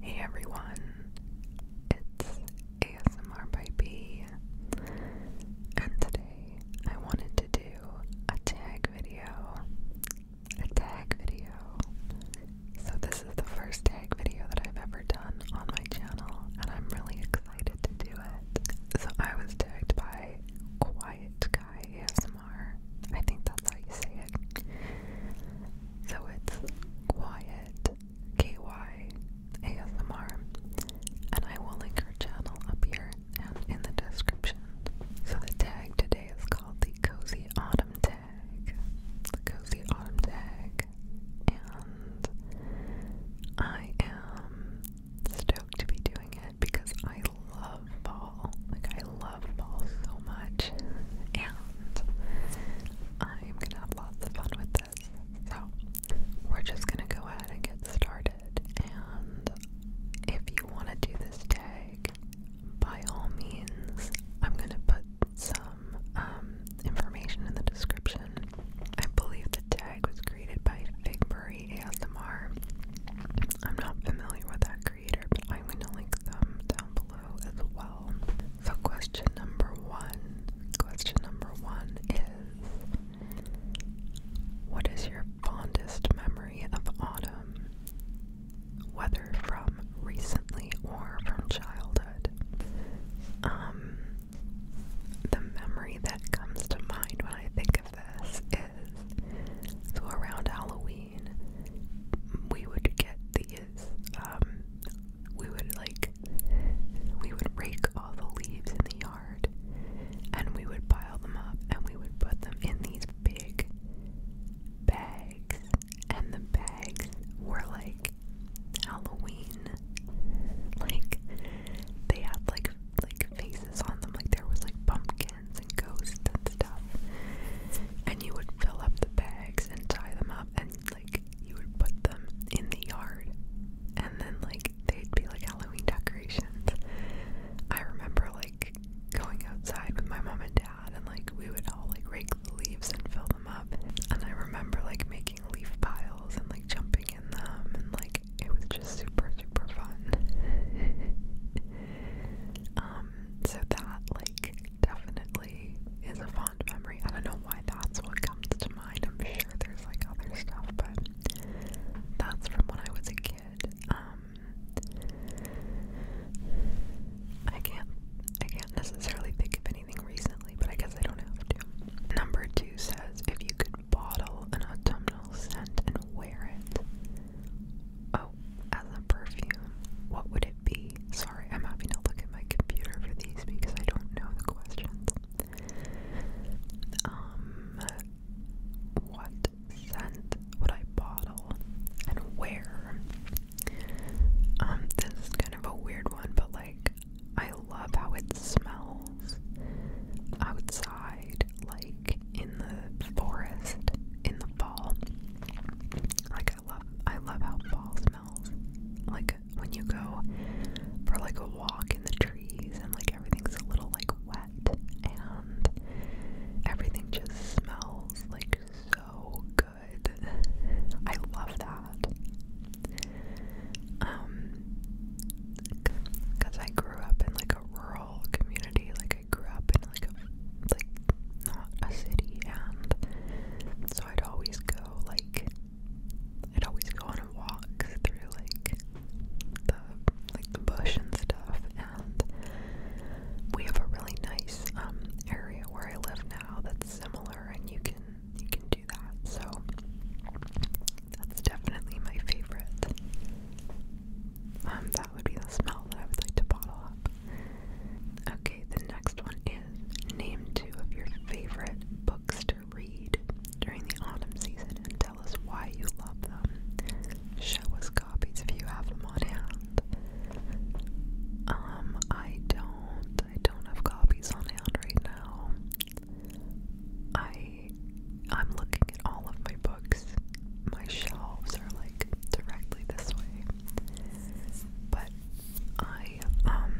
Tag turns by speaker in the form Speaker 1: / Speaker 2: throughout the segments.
Speaker 1: Hey everyone, it's ASMR by B, and today I wanted to do a tag video. A tag video. So, this is the first tag video that I've ever done on my channel, and I'm really excited to do it. So, I was tagged by Quiet Guy ASMR. I think that's how you say it. So it's Quiet KY and I will link her channel up here and in the description. So the tag today is called the Cozy Autumn Tag. The Cozy Autumn Tag, and I am stoked to be doing it because I love fall. Like, I love balls so much, and I'm gonna have lots of fun with this. So, we're just gonna go ahead and get started. And if you want to do this tag, by all means, I'm gonna put some um, information in the description. I believe the tag was created by Figbury ASMR. I'm not familiar with that creator, I'm going to link them down below as well. So, question number one question number one is What is your fondest memory of autumn? Whether from recently or from childhood? Um, the memory that comes to mind when I think of this is so around Halloween we would get these, um, we would like, we would rake all the leaves in the yard and we would pile them up and we would put them in these big bags. And the bags were like Halloween. Like, they had like, like faces on them, like there was like pumpkins and ghosts stuff. And you would fill up the bags and tie them up, and like you would put them in the yard, and then like they'd be like Halloween decorations. I remember like going outside with my mom and dad, and like we would all like rake the leaves and fill them up. And I remember like making leaf piles and like jumping in them, and like it was just super, super fun. um, so that like definitely is a fond memory. I don't know why that's what comes to mind. I'm sure there's like other stuff, but that's from when I was a kid. Um, I can't, I can't necessarily think of anything recently, but I guess I don't have to. Number two says if you could bottle an autumnal scent and wear it. Uh, as a perfume, what would it be? Sorry, I'm having to look at my computer for these because I don't know the questions. Um, what scent would I bottle and where? Um, this is kind of a weird one, but like, I love how it smells outside, like in the forest in the fall. Like, I love I love how fall smells. Like when you go for like a walk in the trees and like everything's a little like wet and everything just smells like so good. I love that. Um cuz I grew up in like a rural community. Like I grew up in like a um, like not a city and so I'd always go like I'd always go on a walk through like the like the bush and stuff and we have a really nice um area where I live now that's similar and you can you can do that so that's definitely my favorite. Um, that would be the smell that I would like to bottle up. Okay, the next one is name two of your favorite books to read during the autumn season and tell us why you love them. Show us copies if you have them on hand. Um, I don't. I don't have copies on hand right now. I I'm looking at all of my books. My shelves are like directly this way. But I um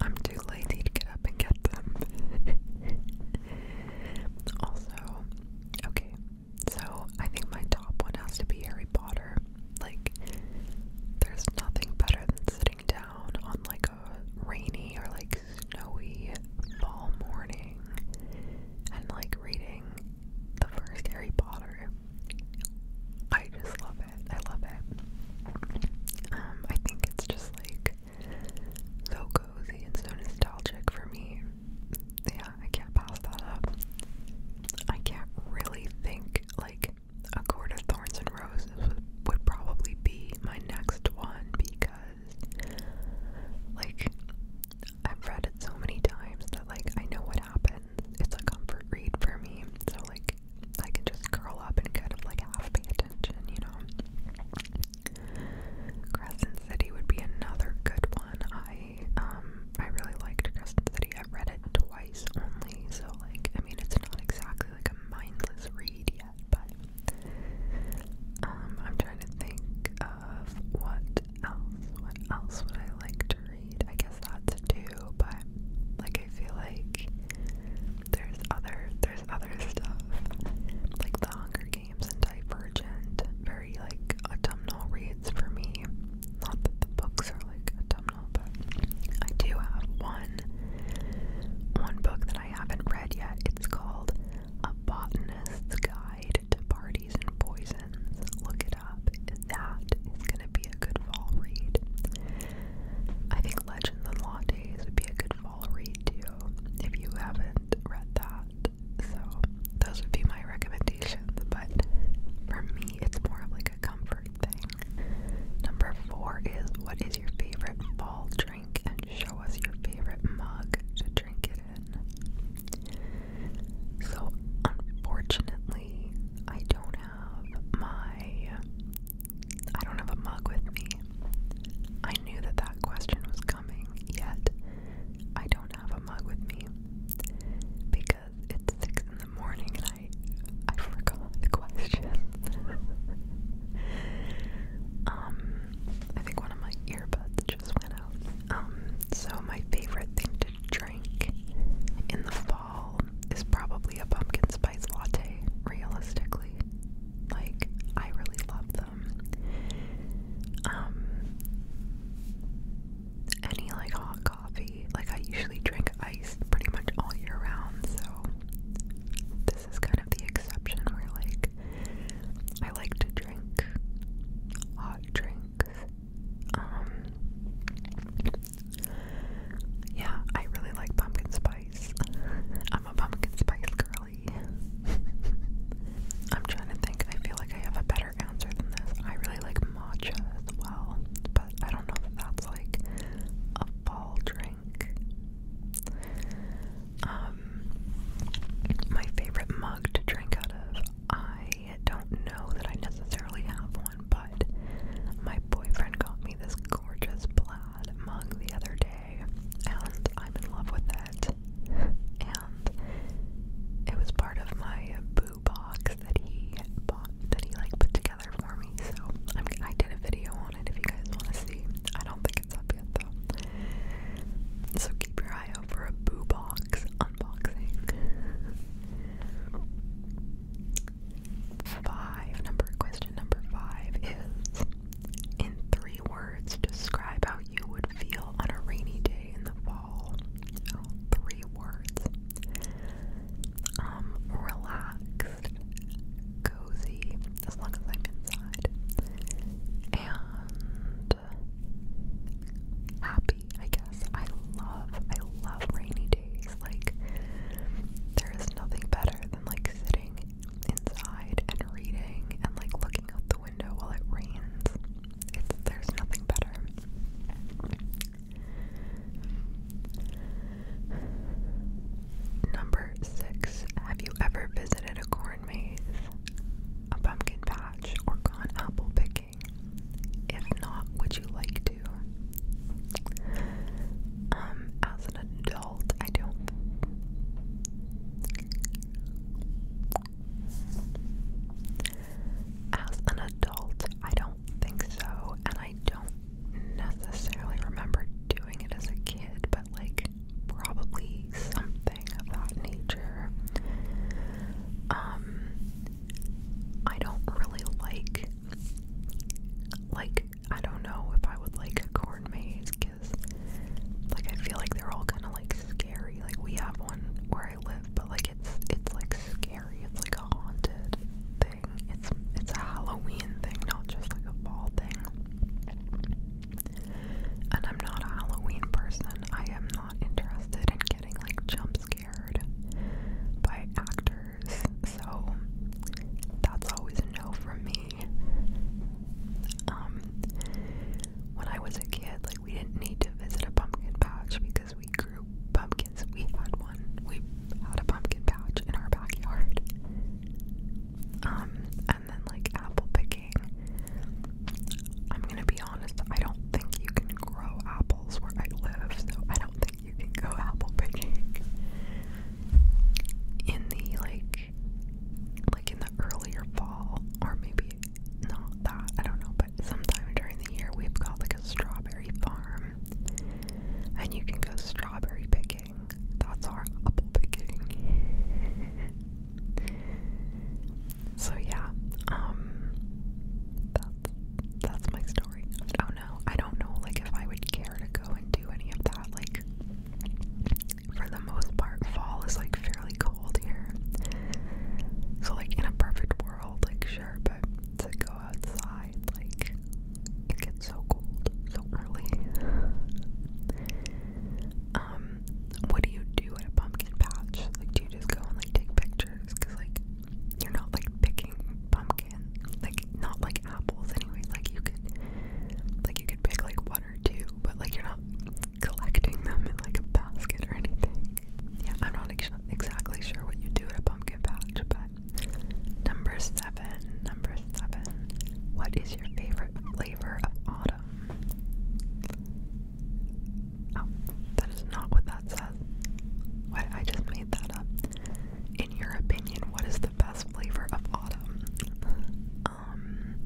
Speaker 1: I'm too lazy to get up and get them. also, okay. So I think my top one has to be Harry Potter. Like there's nothing better than sitting down on like a rainy or like snowy fall morning and like reading the first Harry Potter. I just love it. I love it. Um, I think it's just like so cozy and so nostalgic for me. Yeah, I can't pass that up. I can't really think like a court of thorns and roses would probably be my next one because like I've read it so many times that like I know what happens, it's a comfort read for me. So like I can just curl up and kind of like half pay attention, you know. Crescent City would be another good one. I um I really liked Crescent City. I read it twice only, so like I mean it's not exactly like a mindless read yet, but um I'm trying to think of what else? What else would I like to read? I guess that's do, but like I feel like there's other there's other stuff. Like the Hunger Games and Divergent. Very like autumnal reads for me. Not that the books are like autumnal, but I do have one one book that I haven't read yet. It's called A Botanist's Guide to Parties and Poisons. Look at that is going to be a good fall read. I think Legends and Lattes would be a good fall read too if you haven't read that. So, those would be my recommendations. But for me, it's more of like a comfort thing. Number four is what is your favorite fall drink and show us your favorite mug to drink it in. So, unfortunately, I don't have my. I don't have a mug with me. I knew that that question was coming, yet I don't have a mug with me because it's six in the morning and I I forgot the question. um, I think one of my earbuds just went out. Um, so my favorite thing to drink in the fall is probably a pumpkin spice latte, realistically. Like, I really love them. Um, any like hot coffee, like, I usually drink ice pretty much all year round, so this is kind of the exception where, like, I like to drink hot drinks um, yeah, I really like pumpkin spice. I'm a pumpkin spice girl. I'm trying to think. I feel like I have a better answer than this. I really like matcha as well, but I don't know if that's like a fall drink. Um, my favorite mug to drink out of. I I don't know that I necessarily have one, but my boyfriend got me this gorgeous plaid mug the other day, and I'm in love with it. And it was part of my boo box that he bought, that he like put together for me. So I'm, I did a video on it if you guys want to see. I don't think it's up yet though. So keep your eye out for a boo box unboxing. Five number question number five is in three words describe how you would feel on a rainy day in the fall. Oh, three words. Um, relaxed, cozy, as long as I'm inside, and happy. I guess. I love, I love rainy days. Like, there is nothing better than like sitting inside and reading and like looking out the window while it rains. It's, there's nothing better. Number six. Have you ever visited a corn maze, a pumpkin patch, or gone apple picking? If not, would you like to? Um, as an adult, I don't. As an adult, I don't think so, and I don't necessarily remember doing it as a kid, but like probably something of that nature. Um, I don't really like like I don't know if I would like corn maze because like I feel like they're all kind of like scary. Like we have one where I live, but like it's it's like scary. It's like a haunted thing. It's it's a Halloween thing, not just like a fall thing. And I'm not a Halloween person. I am not interested in getting like jump scares by actors, so that's always a no from me. Um, when I was a kid, like we didn't need to visit a pumpkin patch because we grew pumpkins. We had one. We had a pumpkin patch in our backyard. Um, and then like apple picking. I'm gonna be honest, I don't think you can grow apples where I live, so I don't think you can go apple picking. In the like, like in the earlier fall, or maybe not that, I don't know, but sometime during the year we've got like a strawberry farm, and you can go strawberry picking. That's our apple picking. so yeah, um, that's that's my story. Oh no, I don't know like if I would care to go and do any of that. Like for the most part, fall is like fairly cold here. So like in a perfect world, like sure, but to go outside, like it gets so cold so early. Um, what do you do at a pumpkin patch? Like do you just go and like take pictures? Cause like you're not like picking pumpkin, like not like apples anyway. Like you could, like you could pick like one or two, but like you're not collecting them in like a basket or anything. Yeah, I'm not exactly sure what you do at a pumpkin patch, but number seven, number seven. What is your favorite flavor of autumn? Oh, that is not what that says. What I just made that up. In your opinion, what is the best flavor of autumn? Um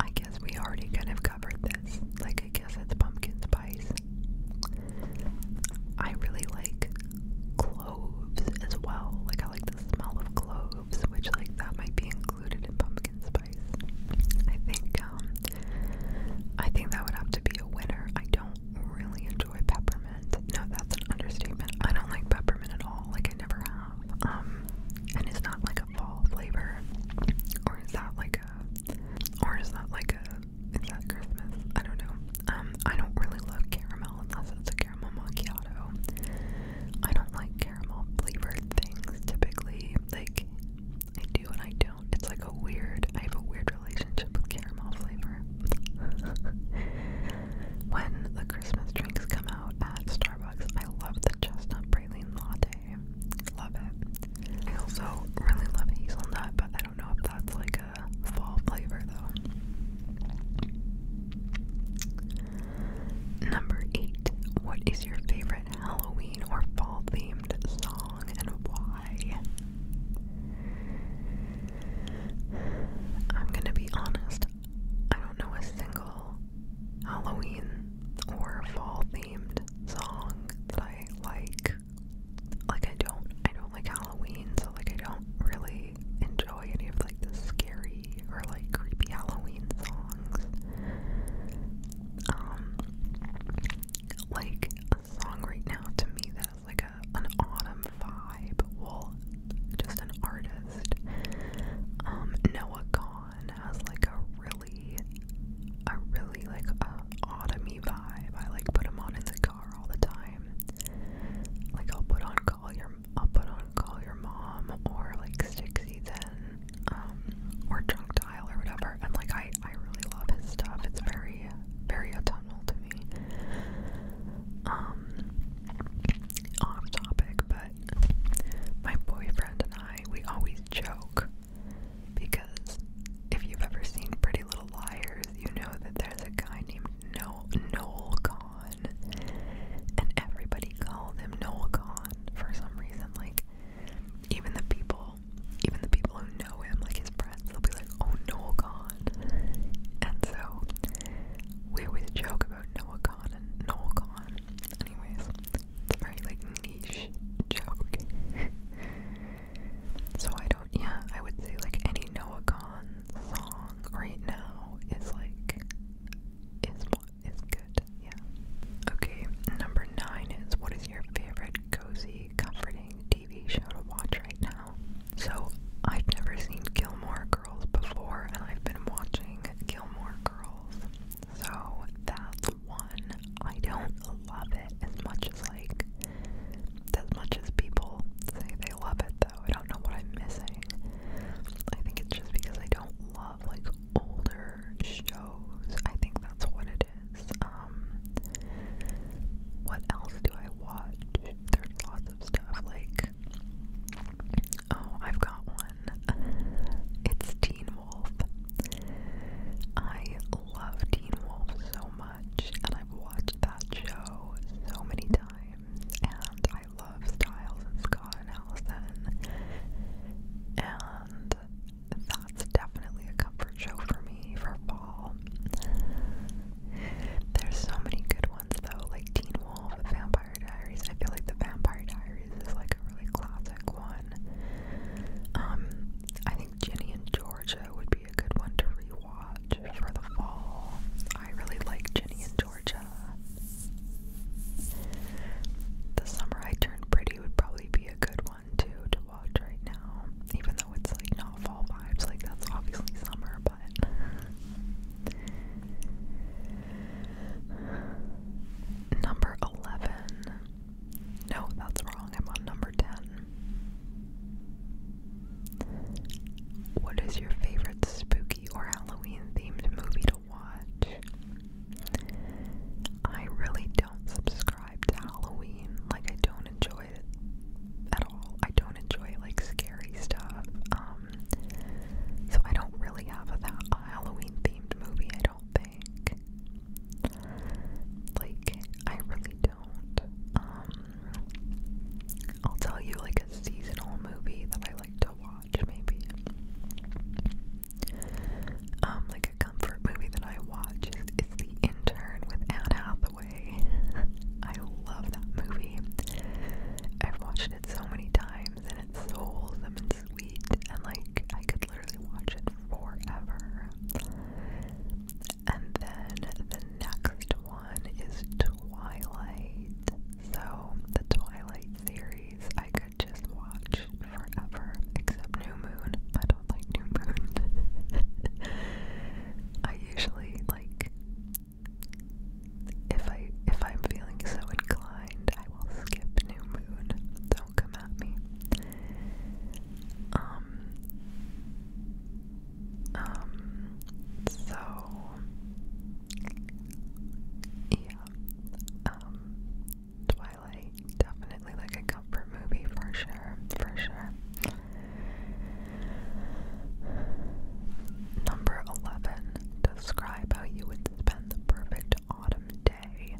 Speaker 1: I guess we already kind of covered this. Like I guess it's pumpkin spice. I really like cloves as well. Like I like the smell of cloves, which like that might be included in pumpkin spice. I think um, I think that would have to be a winner. I don't really enjoy peppermint. No, that's an understatement. I don't like peppermint at all. Like I never have. Um, and it's not like a fall flavor. Or is that like a or is that like a is that Christmas? I don't know. Um, I don't really love caramel unless it's a caramel macchiato. I don't like caramel flavored things typically. Like I do and I don't. It's like a weird, I have a weird relationship with caramel flavor. when the Christmas drinks come out at Starbucks, I love the chestnut praline latte. Love it. I also really love hazelnut, but I don't know if that's like a fall flavor though. Number eight. What is your favorite Halloween or fall themed song and why? I'm gonna be honest, I don't know a single Halloween or fall themed song that I like. Like I don't I don't like Halloween, so like I don't really enjoy any of like the scary or like creepy Halloween songs. Um, like a song right now to me that is like a an autumn vibe. Well, just an artist. Um, Noah Gone has like a really, a really like a autumny vibe. I like put him on in the car all the time. Like I'll put on Call Your, I'll put on Call Your Mom or like Six then um, or Drunk or whatever. And like I, I really love his stuff. It's very, very autumnal to me. Um, off topic, but my boyfriend and I, we always joke because if you've ever seen Pretty Little Liars, you know that there's a guy named Noel Gone, and everybody called him Noel Gone for some reason. Like even the people people, even the people who know him, like his friends, they'll be like, oh, Noah Khan. And so we always joke about Noah Khan and Noah Khan. Anyways, it's a very like niche joke. so I don't, yeah, I would say like any Noah Khan song right now is like, is, is good, yeah. Okay, number nine is what is your favorite good, cozy, comforting TV show to watch right now. So, I've never seen Gilmore Girls before, and I've been watching Gilmore Girls. So, that's one. I don't love it as much as, like, as much as people say they love it, though. I don't know what I'm missing. I think it's just because I don't love, like, older shows. I think that's what it it is. Um, what else do I watch? There's lots of stuff like. Oh, I've got one. It's Teen Wolf. I love Teen Wolf so much, and I've watched that show so many times, and I love Styles and Scott and Allison. And that's definitely a comfort show for me for fall. There's so many good ones though, like Teen Wolf, The Vampire Diaries. I feel like The Vampire Diaries is like a really classic one. Um, I think Ginny and Georgia would be a good one to rewatch for the fall. I really like Ginny and Georgia. The summer I turned pretty would probably be a good one to watch right now, even though it's like not fall vibes, like that's obviously summer, but number 11. No, that's wrong. I'm on number 10. What is your favorite spooky or Halloween themed movie to watch? I really don't subscribe Halloween. Like I don't enjoy it at all. I don't enjoy like scary stuff. Um so I don't really have a, that Halloween themed movie, I don't think. Like I really don't. Um I'll tell you like a seasonal movie that I like to watch maybe. Um like a comfort movie that I watch is, The Intern with Anne Hathaway. I love that movie. I've watched it so many times and it's so wholesome and sweet and like I could literally watch it forever. And then the next one is Twilight. So the Twilight series I could just watch forever, except new moon. I don't like new moon. I usually like if I if I'm feeling so inclined, I will skip new moon. Don't come at me. Um um so yeah. Um Twilight, definitely like a comfort movie for sure, for sure. Number 11. Describe how you would spend the perfect autumn day.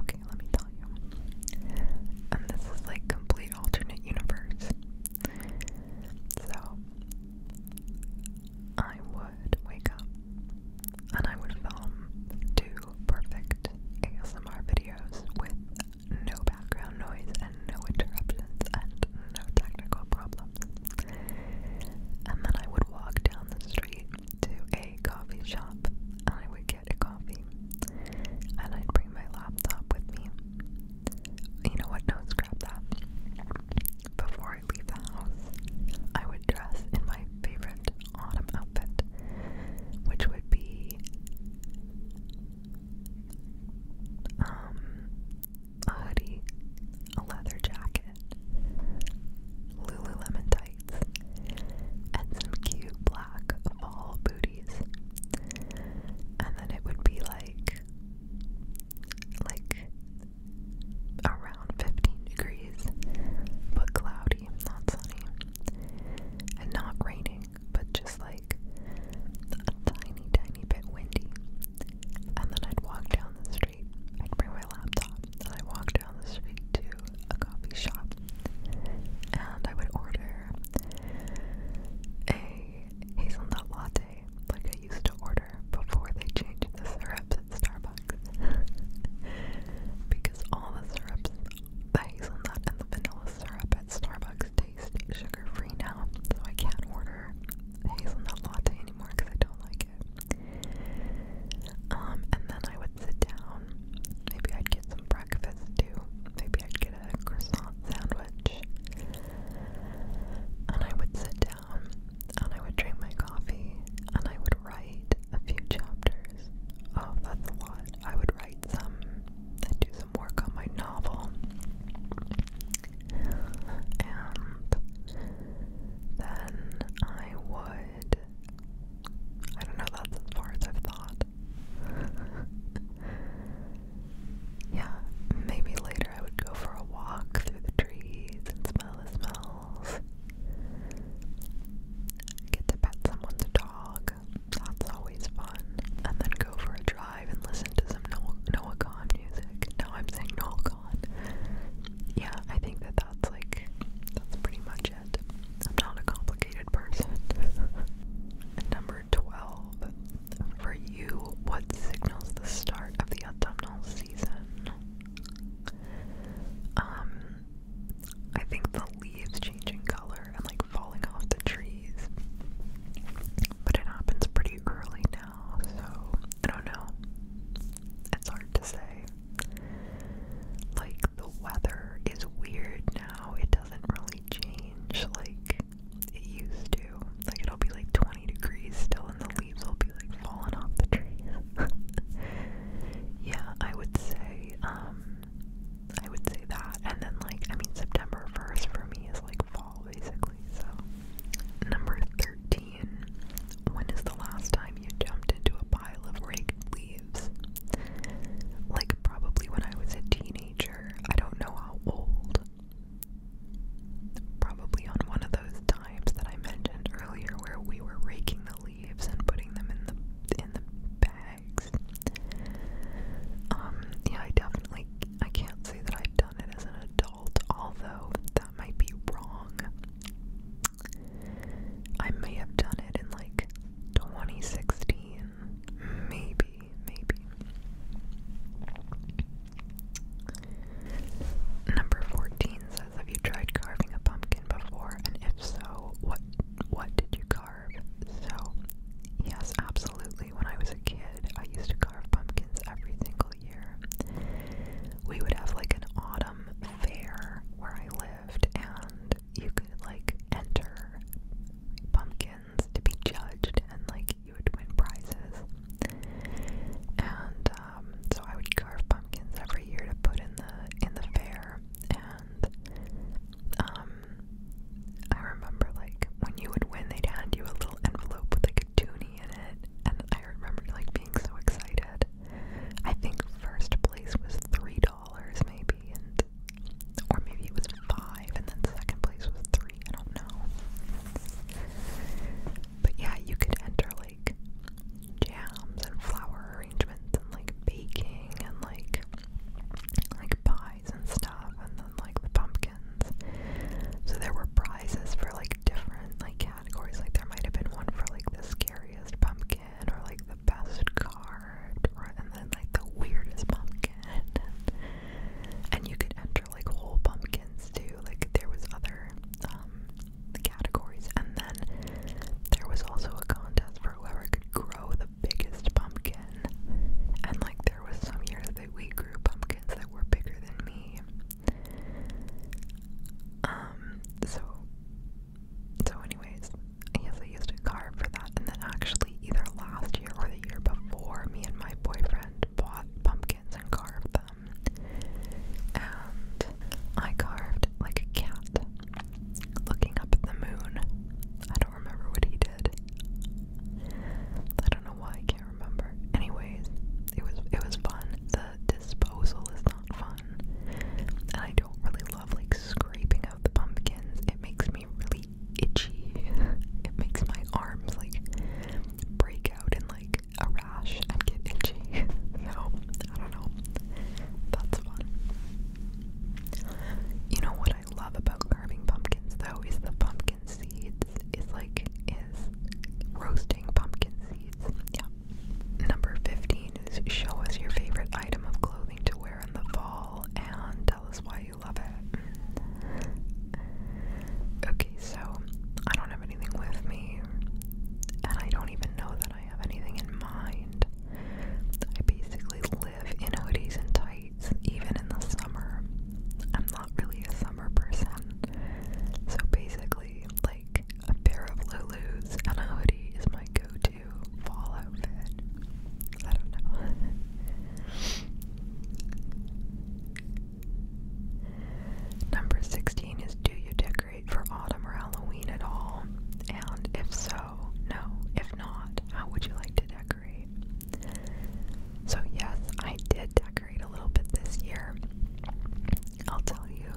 Speaker 1: Okay, let me tell you. And this is like complete alternate universe. So, I would wake up and I would film two perfect ASMR videos with no background noise and no interruptions and no technical problems. And then I would walk down the street to a coffee shop and I would get a coffee. And I'd bring my laptop with me. You know what? No, scrap that. Before I leave the house, I would dress in my favorite autumn outfit, which would be um, a hoodie, a leather jacket, Lululemon tights, and some cute black fall booties. And then it would be like, like around 15 degrees, but cloudy, not sunny and not raining, but just like a tiny, tiny bit windy. And then I'd walk down the street. I'd bring my laptop and I'd walk down the street to a coffee shop and I would order a hazelnut latte like I used to order before they changed the syrups at Starbucks. because all the syrups hazelnut and the vanilla syrup at Starbucks taste sugar-free now, so I can't order hazelnut latte anymore because I don't like it. Um, and then I would sit down. Maybe I'd get some breakfast too. Maybe I'd get a croissant sandwich. And I would sit down and I would drink my coffee and I would write a few chapters Oh, that's a lot. I would write some and do some work on my novel. And then I would. I don't know, that's as far as I've thought. yeah, maybe later I would go for a walk through the trees and smell the smells. Get to pet someone's dog. That's always fun. And then go for a drive and listen to some Noah, Noah Khan music. No, I'm saying Noah Khan. Yeah, I think that that's like, that's pretty much it. I'm not a complicated person. number 12. For you, what signals the start of the autumnal season? Um, I think the leaves changing color and like falling off the trees. But it happens pretty early now, so I don't know. It's hard to say. Like, the weather is weird now. It doesn't really change like it used to. Like, it'll be like 20 degrees still, and the leaves will be like falling off the trees. yeah, I would say, um, I would say that. And then, like, I mean, September 1st for me is like fall, basically. So, number 13. When is the last time you jumped into a pile of raked leaves? Like, probably when I was a teenager. I don't know how old. Probably on one of those times that I mentioned earlier where we were raking the leaves and putting them in the in the bag um, yeah, I definitely I can't say that I've done it as an adult, although that might be wrong. I may have done it in like 2016, maybe, maybe. Number 14 says, Have you tried carving a pumpkin before? And if so, what what did you carve? So, yes, absolutely. When I was a kid, I used to carve pumpkins every single year. We would have like an autumn fair where I lived, and you could like enter pumpkins to be judged, and like you would win prizes. And um, so I would carve pumpkins every year to put in the in the fair, and um, I remember like when you would win, they'd hand you a little envelope with like a toonie in it, and I remember like being so excited. I think first place was three dollars maybe, and or maybe it was five, and then second place was three. I don't know. But yeah, you could enter like jams and flower arrangements and like baking and like like pies and stuff and then like the pumpkins. So there were prizes for like different like categories. Like there might have been one for like the scariest pumpkin or like the best card or and then like the weirdest pumpkin. And you could enter like whole pumpkins too. Like there was other um categories and then there was also a contest for whoever could grow grow the biggest pumpkin. And like there was some years that we grew pumpkins that were bigger than me. Um, so so anyways, yes I used a card for that and then actually either last year or the year before me and my boyfriend bought pumpkins and carved them. And I carved like a cat looking up at the moon. I don't remember what he did. I don't know why I can't remember. Anyways, it was it was fun. The disposal is not fun. And I don't really love like scraping out the pumpkins. It makes me really itchy. It makes my arms like break out in like a rash and get itchy. so I don't know. That's fun. You know what I love about carving pumpkins though is the pumpkin seeds is like is roasting pumpkin seeds. Yeah. Number 15 is show us your favorite item of clothing to wear in the fall and tell us why you love it. Okay, so I don't have anything with me and I don't even know that I have anything in mind. I basically live in hoodies and tights, even in the summer. I'm not really a summer person. So basically, like a pair of Lulus and a hoodie is my go to fall outfit. I don't know. Number 16 is Do you decorate for autumn or Halloween at all? And if so, no. If not, how would you like to decorate? So, yes, I did decorate a little bit this year. I'll tell you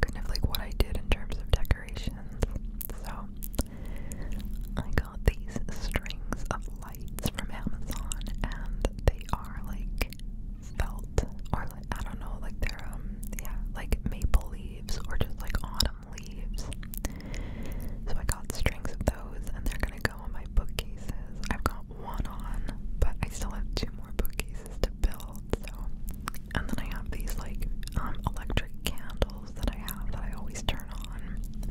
Speaker 1: kind of like what I did in terms of decorations. So, I got these strings of lights from Amazon, and they are like felt or I don't know, like they're, um, yeah, like maple leaves or just like autumn leaves. So I got strings of those and they're gonna go on my bookcases. I've got one on, but I still have two more bookcases to build, so and then I have these like um, electric candles that I have that I always turn on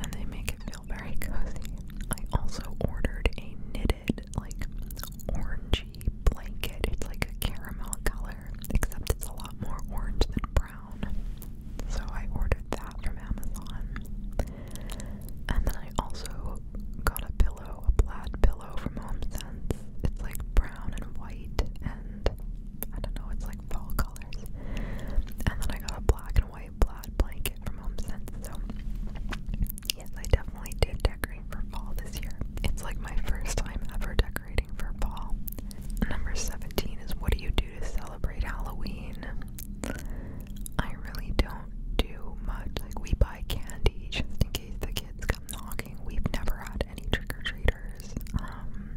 Speaker 1: and they make it feel very cozy. I also ordered a knitted like orangey blanket. It's like a caramel color, except it's a lot more orange than brown. So I ordered that from Amazon. And then I also got a pillow, a plaid pillow from HomeSense. It's like brown and white and I don't know, it's like fall colors. And then I got a black and white plaid blanket from HomeSense. So yes, I definitely did decorate for fall this year. It's like my first time ever decorating decorating for fall. Number 17 is what do you do to celebrate Halloween? I really don't do much. Like, we buy candy just in case the kids come knocking. We've never had any trick or treaters. Um,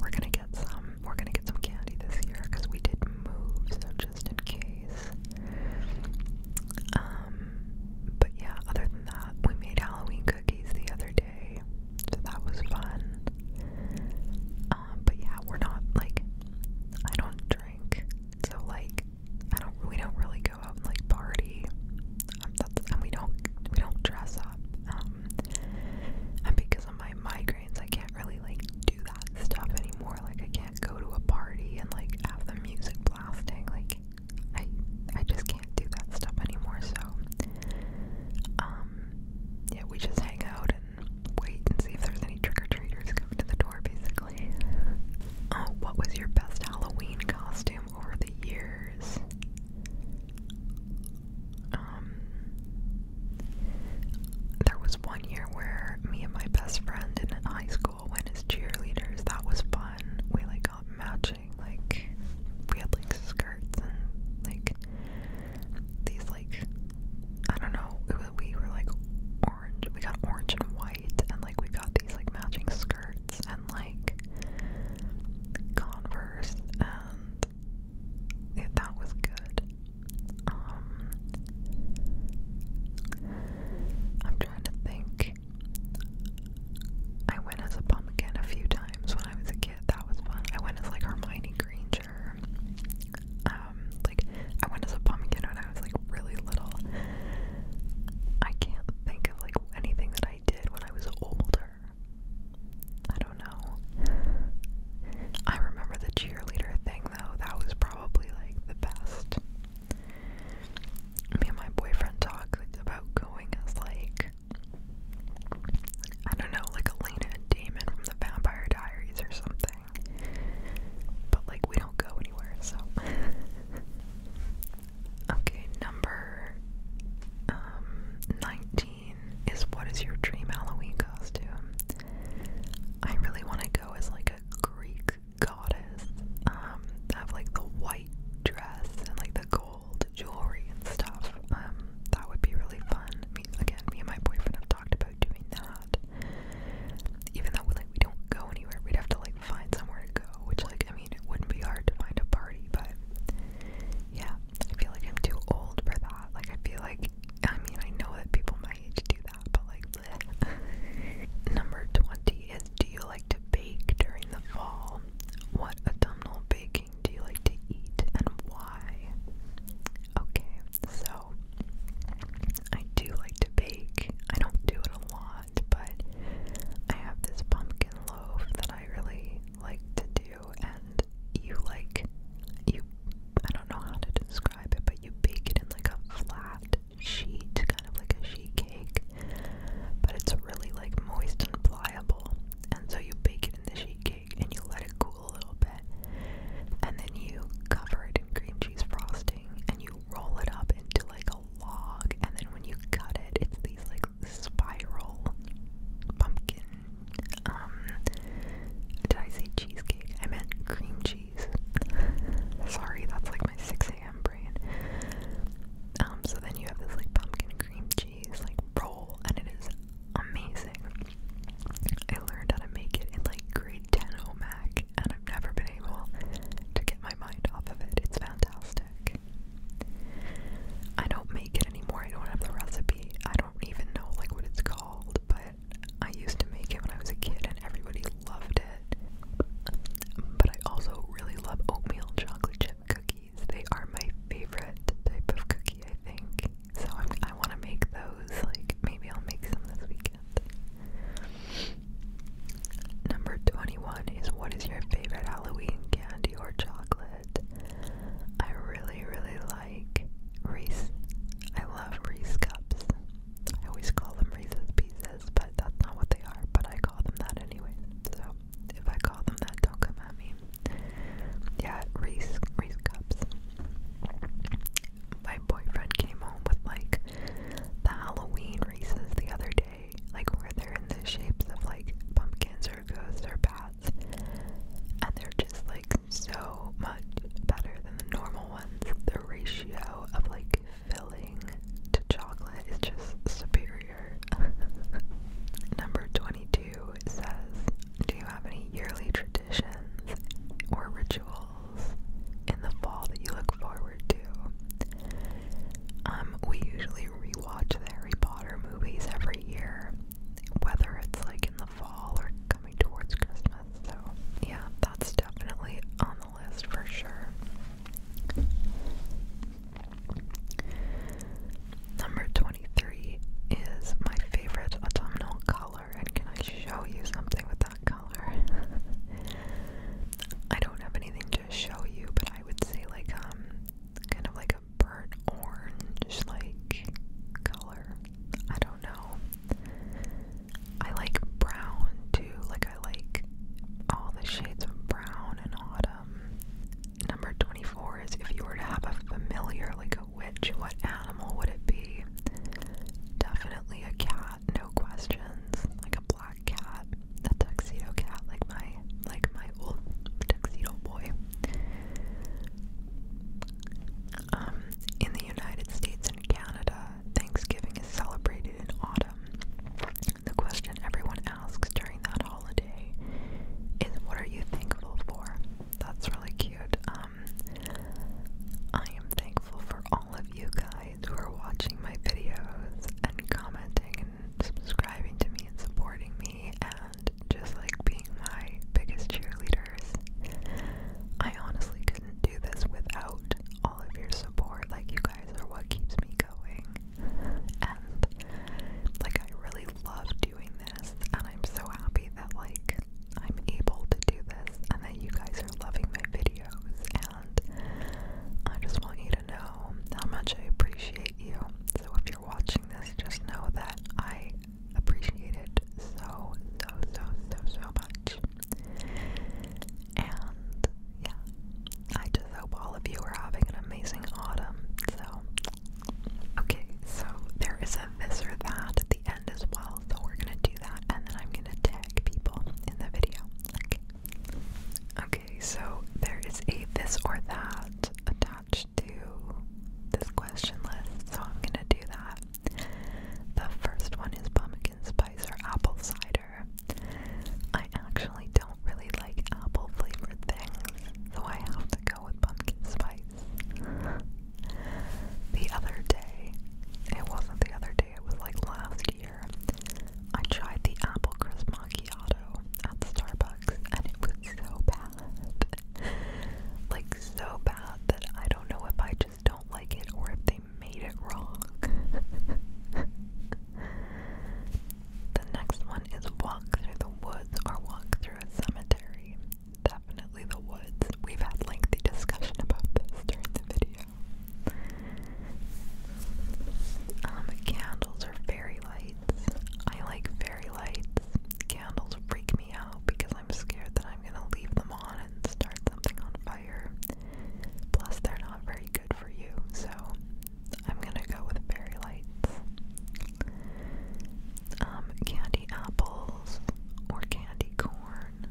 Speaker 1: we're gonna get some. We're gonna get some candy this year because we did move, so just in case. Um, but yeah, other than that, we made Halloween the other day, so that was fun. Um, but yeah, we're not like I don't drink, so like I don't. We don't really go out and like party. Um, and we don't we don't dress up. Um, and because of my migraines, I can't really like do that stuff anymore. Like I can't go to a party and like have the music blasting. Like I I just can't can't do that stuff anymore, so um, yeah, we just hang out and wait and see if there's any trick-or-treaters coming to the door basically. Oh, what was your best Halloween costume over the years? Um, there was one year where me and my best friend in high school went as cheerleaders. That was fun. We like matching, like, we had like skirts and like these, like, I don't know, it we were like orange, we got orange and white, and like we got these like matching skirts and like Converse, and it, that was good. Um, I'm trying to think. I went as a pumpkin a few times when I was a kid. That was fun. I went as like Hermione Granger. Um, like I went as a pumpkin when I was like really little. I can't think of like anything that I did when I was older. I don't know. I remember the cheerleader thing though. That was probably like the best. Me and my boyfriend talked about going as like I don't know, like Elena and Damon from the Vampire Diaries or something. But like we don't go anywhere, so Okay, number um 19 is what is your dream Halloween costume? I really want to go as like a Greek goddess. Um have like the white dress and like the gold gold jewelry and stuff. Um, that would be really fun. I mean, again, me and my boyfriend have talked about doing that. Even though like we don't go anywhere, we'd have to like find somewhere to go. Which like I mean, it wouldn't be hard to find a party, but yeah, I feel like I'm too old for that. Like I feel like I mean I know that people my age do that, but like. Number 20 is Do you like to bake during the fall? What autumnal bake do you like to eat and why? Okay, so I do like to bake. I don't do it a lot, but I have this pumpkin loaf that I really like to do and you like you I don't know how to describe it, but you bake it in like a flat sheet, kind of like a sheet cake. But it's really like moist and pliable and so you bake it in the sheet cake and you let it cool a little bit. And then you cover it in cream cheese frosting and you roll it up into like a log. And then when you cut it, it's these like spiral pumpkin. Um, did I say cheesecake? I meant cream cheese. Sorry, that's like my 6 a.m. brain. Um, so then you have this like pumpkin cream cheese cheese like roll and it is amazing. I learned how to make it in like grade 10 OMAC and I've never been able to get my mind off of it. It's fantastic. I don't make it anymore. I don't have the recipe. I don't even know like what it's called, but I used to make it when I was a kid and everybody loved it. But I also really love oatmeal chocolate chip cookies. They are my favorite type of cookie, I think. So I'm, I want to make those. Like, maybe I'll make some this weekend. Number 21 is what is your favorite Halloween candy or chocolate? I really, really like Reese. I love Reese cups. I always call them Reese's pieces, but that's not what they are, but I call them that anyway. So if I call them that, don't come at me. Yeah, Reese, Reese cups. My boyfriend came home with like the Halloween Reese's the other day, like where they're in the shapes of like pumpkins or ghosts or bats, and they're just like so much better than the normal ones. The ratio of like filling to chocolate is just superior. Number 22 says, Do you have any yearly traditions or rituals in the fall that you look forward to? Um, we usually rewatch the Harry Potter movies every year, whether it's like in the fall or coming towards Christmas. So, yeah, that's definitely on the list for sure. Number 23 is my favorite autumnal color, and can I show you something with that color? I don't have anything to show you, but I would say, like, um, kind of like a burnt orange, like, color. I don't know. I like brown too, like, I like all the shades of brown in autumn. Number 24 is if you were to have a familiar, like a witch, what animal would it be? Definitely a cat, no questions. Like a black cat, a tuxedo cat, like my like my old tuxedo boy. Um, in the United States and Canada, Thanksgiving is celebrated in autumn. The question everyone asks during that holiday is what are you thankful for? That's really cute. Um, I am thankful for all of you guys who are watching my videos and commenting and subscribing to me and supporting me and just like being my biggest cheerleaders. I honestly couldn't do this without all of your support. Like, you guys are what keeps me going and like I really love doing this and I'm so happy that like I'm able to do this and that you guys are loving my videos and I just want you to know how much I appreciate you. So if you're watching this, just know that I appreciate it so, so, so, so, so much. And yeah, I just hope all of you are having an amazing autumn. So Okay, so there is a this or that at the end as well, so we're gonna do that and then I'm gonna tag people in the video. Okay. Okay, so there is a this or that attached to this question list, so I'm gonna do that. The first one is pumpkin spice or apple cider. I actually don't really like apple flavored things, so I have to go with pumpkin spice. The other day, it wasn't the other day, it was like last year, I tried the apple crisp macchiato at Starbucks and it was so bad. like, so bad that I don't know if I just don't like it or if they made it wrong. the next is walk through the woods or walk through a cemetery. Definitely the woods. We've had lengthy discussion about this during the video. Um, candles are fairy lights. I like fairy lights. Candles freak me out because I'm scared that I'm gonna leave them on and start something on fire. Plus, they're not very good for you, so I'm gonna go with fairy lights. Um, candy apples or candy corn.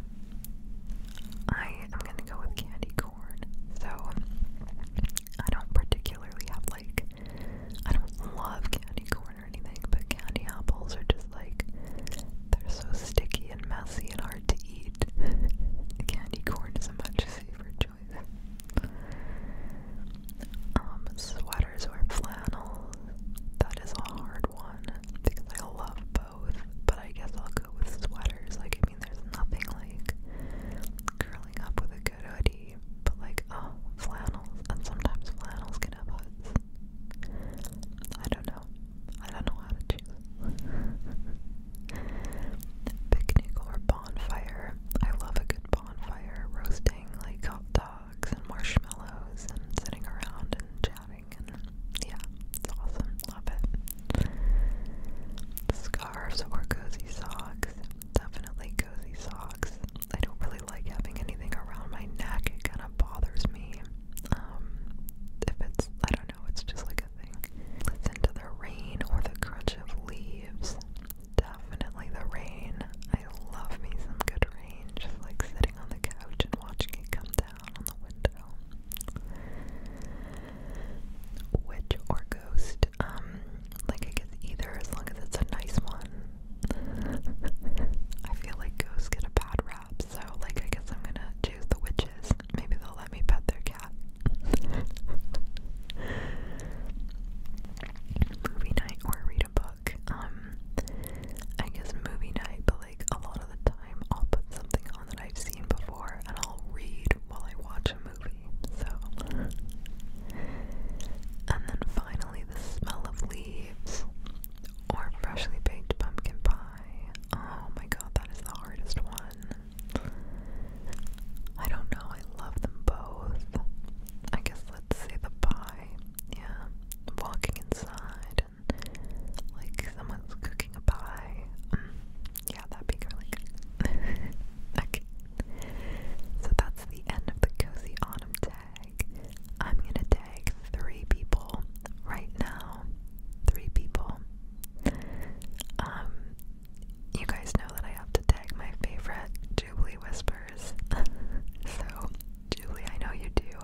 Speaker 1: I am gonna go with candy corn. So I don't particularly have like I don't love candy corn or anything, but candy apples are just like they're so sticky and messy and hard to eat. candy corn is a much safer um, sweaters or flannels. That is a hard one because I love both, but I guess I'll go with sweaters. Like, I mean, there's nothing like curling up with a good hoodie, but like, oh, flannels. And sometimes flannels can have hoods. I don't know. I don't know how to choose. Picnic or bonfire. I love a good bonfire on fire roasting like hot dogs and marshmallows and sitting around and chatting and yeah, it's awesome. Love it. Scarves or cozy socks. Definitely cozy socks. I don't really like having anything around my neck. It kind of bothers me. Um, if it's, I don't know, it's just like a thing. Listen to the rain or the crunch of leaves. Definitely the rain. I love me some good rain. Just like sitting on the couch and watching it come down on the window. Witch or ghost? Um, like I guess either as long as it's a nice one. I feel like ghosts get a bad rap, so like I guess I'm gonna choose the witches. Maybe they'll let me pet their cat. movie night or read a book. Um, I guess movie night, but like a lot of the time I'll put something on that I've seen before and I'll read while I watch a movie. So, and then finally, the smell of leaves or freshly baked pumpkin pie. Oh my god, that is the hardest one. I don't know, I love them both. I guess let's say the pie. Yeah, walking inside like someone's cooking a pie. Mm. yeah, that'd be really good. okay, so that's the end of the cozy autumn tag. I'm gonna tag three people right now. Three people. Um, you guys know that I have to tag my favorite Jubilee Whisper years. so, Julie, I know you do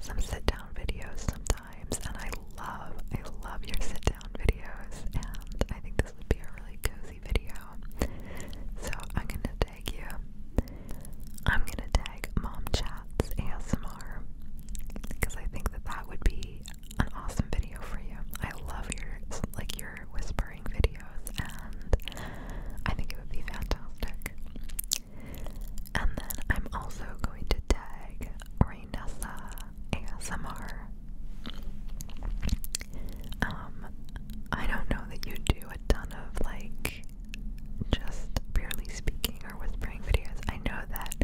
Speaker 1: some sit down videos sometimes, and I love, I love your sit down videos, and I think this would be a really cozy video. So, I'm gonna tag you. I'm gonna tag Mom Chats ASMR because I think that that would be an awesome video for you. I love your, like, your whispering videos, and I think it would be fantastic. And then I'm also going to tag Rainessa ASMR. Um, I don't know that you do a ton of like just purely speaking or whispering videos. I know that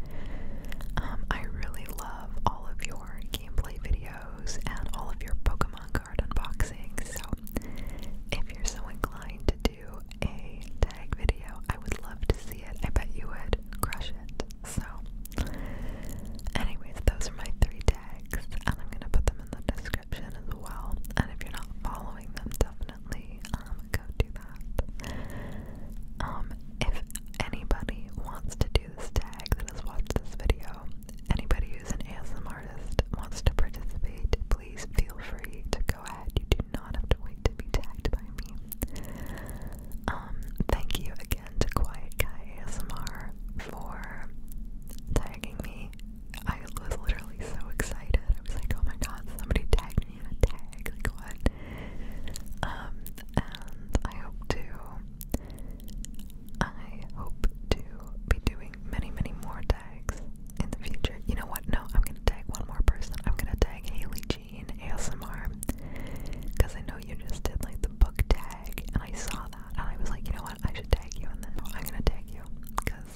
Speaker 1: um, I really love all of your gameplay videos and all of your Pokemon unboxing. So if you're so inclined to do a tag video, I would love to see it. I bet you would crush it. So anyways, those are my three tags and I'm gonna put them in the description as well. And if you're not following them, definitely um go do that. Um if anybody wants to do this tag that has watched this video, anybody who's an ASM artist wants to participate, please feel free to go ahead. You do not have to wait to be tagged by me. Um, thank you again to Quiet Guy ASMR for tagging me. I was literally so excited. I was like, oh my god, somebody tagged me a tag. Like, what? Um, and I hope to I hope to be doing many, many more tags in the future. You know what? No, I'm gonna tag one more person. I'm gonna tag Haley Jean ASMR because I know you just did like the book tag, and I saw that, and I was like, you know what? I should tag you, and then I'm gonna tag you because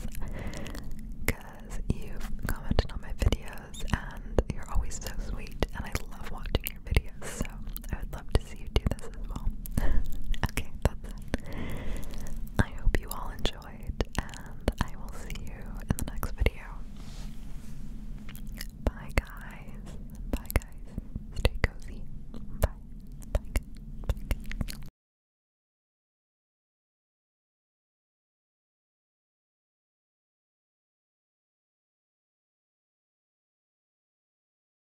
Speaker 1: because you've commented on my videos, and you're always so sweet, and I love watching your videos. So I would love to because you do this as well. okay, that's it. I hope you all enjoyed, and I will see you in the next video. Bye, guys. Bye, guys. Stay cozy. Bye. Bye.